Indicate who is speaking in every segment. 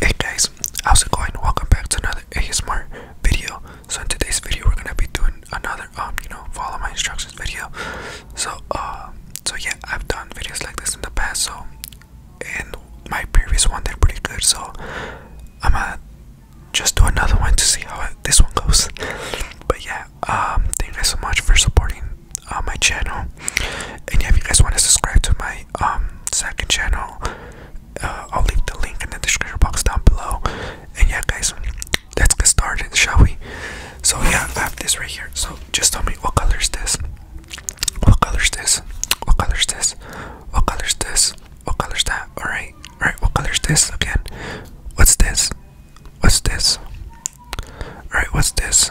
Speaker 1: Hey guys, how's it going? Welcome back to another A Smart video. So in today's video, we're gonna be doing another um, you know, follow my instructions video. So um, so yeah, I've done videos like this in the past. So and my previous one they're pretty good. So I'm gonna just do another one to see how this one goes. But yeah, um, thank you guys so much for supporting uh, my channel. And yeah, if you guys want to subscribe to my um second channel, uh, I'll leave the link in the description box down below. And yeah, guys, let's get started, shall we? So yeah, I have this right here. So just tell me what color is this? What color is this? What color is this? What color is this? What color is that? All right, all right. What color is this again? What's this? What's this? All right, what's this?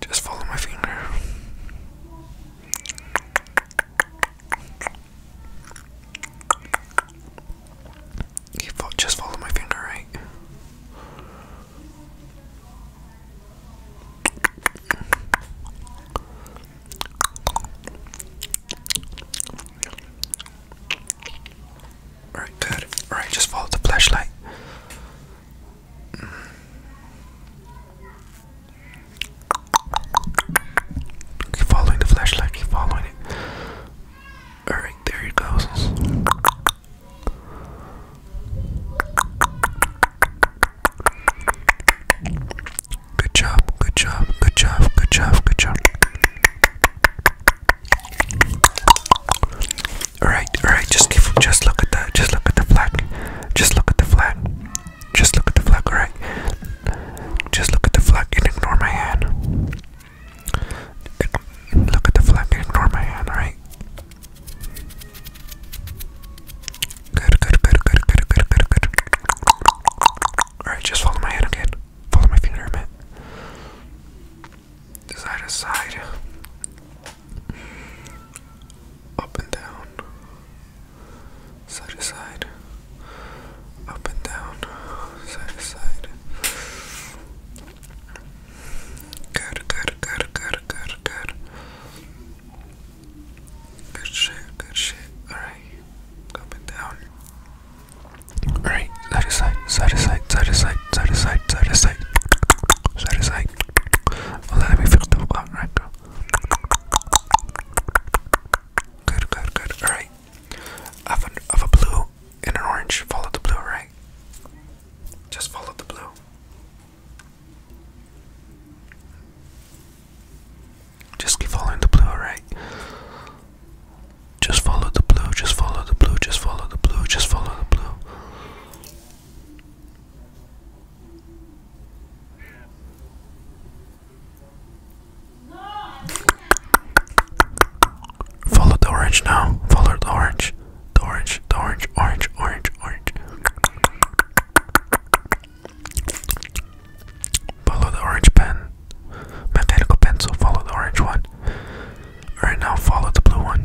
Speaker 1: Just follow my finger. just follow my finger, right? Alright, good. Alright, just follow the flashlight. Keep following the flashlight, keep following it. Alright, there it goes. Good job, good job, good job, good job, good job. Alright, alright, just just look at the just look at the flag. Just look at the flag. Just look at the flag, alright. Just look at the flag and ignore my hand. Look at the flag and ignore my hand, alright? Good, good, good, good, good, good, good, good. Alright, just follow my hand again. Follow my finger a side to side, up and down, side to side, up and down, side to side. Good, good, good, good, good, good. Good shit, good shit. Alright, up and down. Alright, side to side, side to side, side to side, side to side, side to side, side to side let me fix the out right Good, good, good. Alright. I have a blue and an orange. Follow the blue, right? Just follow the blue. Just keep following the blue, right? Just follow the blue, just follow the blue, just follow the blue, just follow the blue. Follow the orange now. Follow the orange. The orange, the orange, orange, orange, orange. Follow the orange pen. Mechanical pencil, follow the orange one. Alright, now follow the blue one.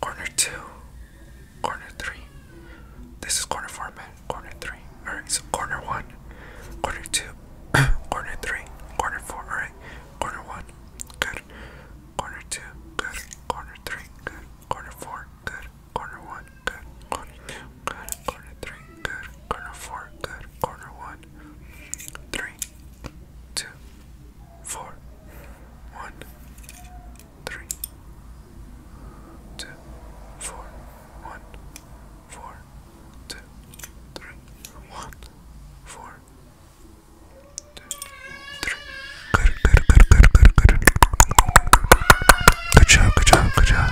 Speaker 1: corner two, corner three. This is corner four, man. Corner three. Alright, so corner one, corner two, corner three, corner four. Alright, corner one, good. Corner two, good. Corner three, good. Corner four, good. Corner one, good. Corner two, good. Corner three, good. Corner four, good. Corner one, three, two, four, one, three, two, four, one, four, two, three, one, four, two, three. Good, good, good, good, good, good. Good job, good job, good job.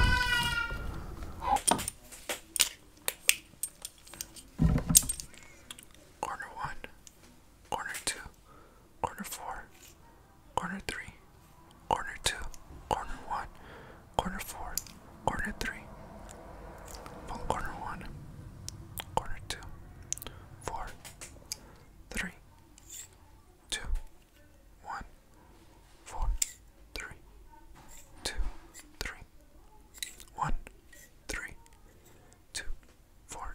Speaker 1: Corner one, corner two, corner four, corner three, corner two, corner one, corner four, corner three, pull corner one, corner two, four, three, two, one, four, three, two, three, one, three, two, four,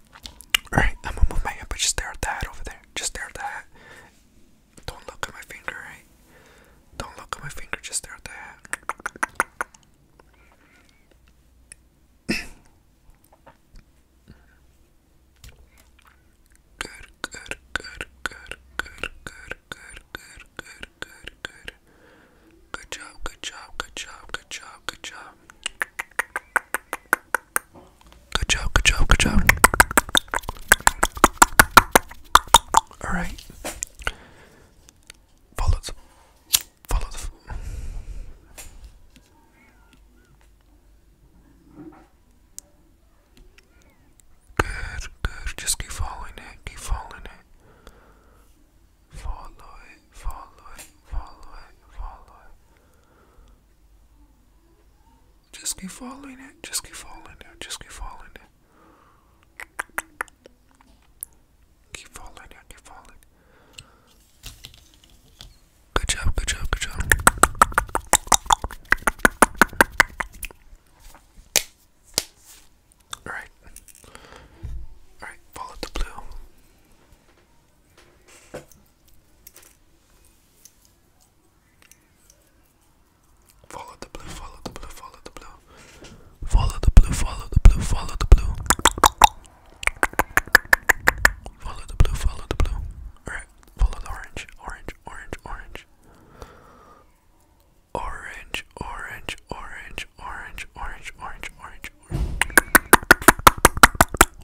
Speaker 1: Alright, I'm gonna move my hand, but just stare at the hat over there. Just stare at the hat. Don't look at my finger, right? Don't look at my finger, just stare at the good, good, good, good, good, good, good, good, good, good, good. Good job, good job, good job, good job, good job. Good job, good job, good job. Alright. Follow the. Follow the. Good, good. Just keep following it, keep following it follow it, follow it, follow it, follow it. Just keep following it, just keep following it, just keep following it. Keep following it, keep following it. Good job, good job, good job. Alright. Alright, follow the blue. Follow the blue, follow the blue, follow the blue. Follow the blue, follow the blue, follow the blue. Follow the blue, follow the blue. Alright, follow the orange, orange, orange, orange. Orange, orange, orange, orange, orange, orange, orange,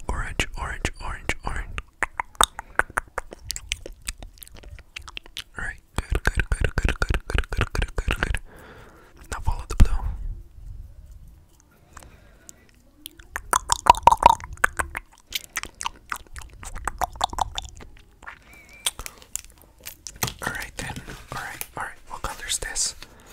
Speaker 1: Orange, orange, orange, orange. Alright, good, good, good, good, good, good, good, good, good. Now follow the blue. Alright then. Alright, alright. What color is this?